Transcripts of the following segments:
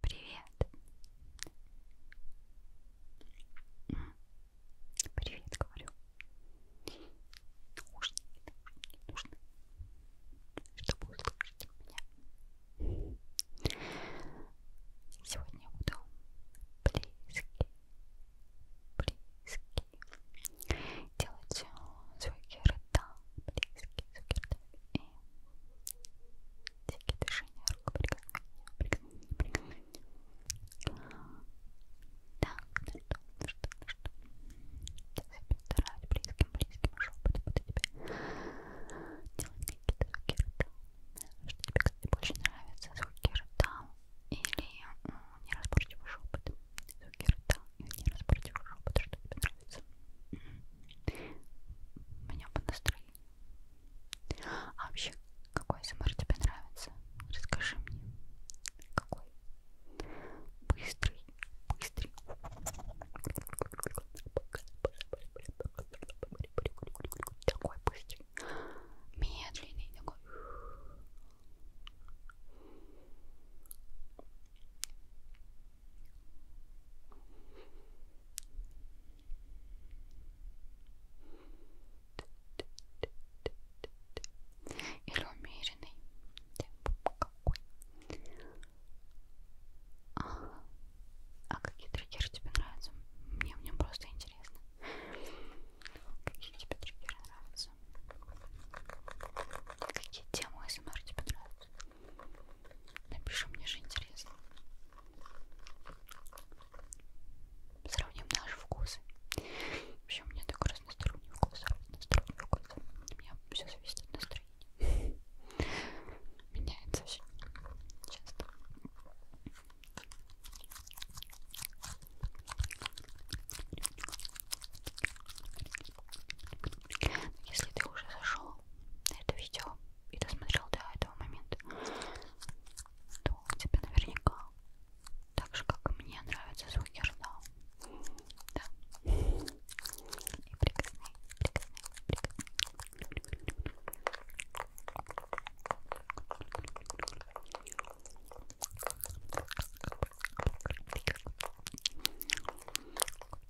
Привет. Привет, говорю. Нужные, нужные, нужные. Чтобы услышать меня. Сегодня буду близкий, близкий. Делать звуки рта, близкие звуки рта. И всякие дышания, рукоприкосновения, прикосновения, прикосновения. Так, ну что, ну что, ну что. Сейчас я постараюсь близким, близким шепотом буду тебе делать какие-то звуки рта. Что тебе, кстати, больше нравятся, звуки рта или неразборчивый шепот? Звуки рта или неразборчивый шепот, что тебе нравится? Меня по настроению а вообще, какой СМР тебе нравится? Расскажи мне. Какой? Быстрый, быстрый. Такой быстрый. Медленный такой. Или умеренный темп какой? Ага. А какие триггеры тебе нравятся? Мне, мне просто интересно. Какие тебе триггеры нравятся? Какие темы СМР тебе нравятся? Напиши, мне же интересно. Сравним наши вкусы. Вообще, у меня такой разносторонний вкус, разносторонний вкус. У меня все зависит от настроения. Меняется все часто. Если ты уже зашел на это видео, и досмотрел до этого момента, то тебе наверняка так же, как и мне, нравятся звуки рта. Да. И прикосны, прикосны, прикосны.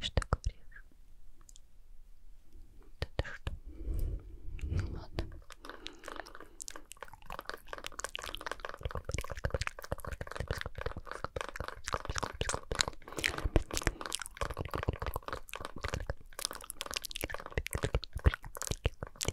Что говоришь? Да ты что? Ну ладно.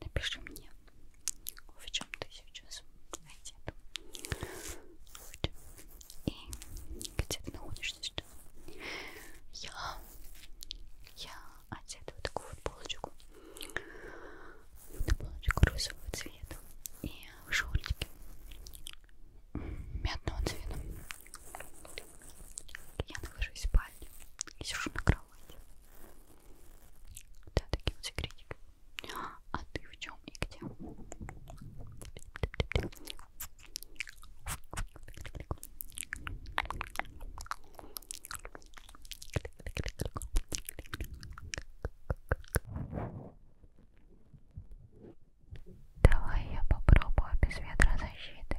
Напиши мне, в чем ты сейчас одет. Вот. И где ты находишься сейчас? Я, я одета вот такую вот полочку. На полочку розового цвета. И шортики мятного цвета. Я нахожусь в спальне и сижу на кровати собралась. Да, такие вот секретики. А ты в чем и где? Давай я попробую без ветрозащиты.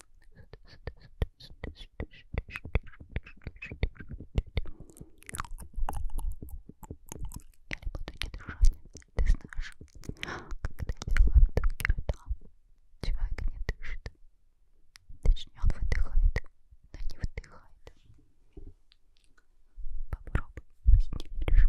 Ты знаешь, когда я делаю вдох ртом, человек не дышит. Точнее, он выдыхает, но не вдыхает. Попробуй, если не веришь.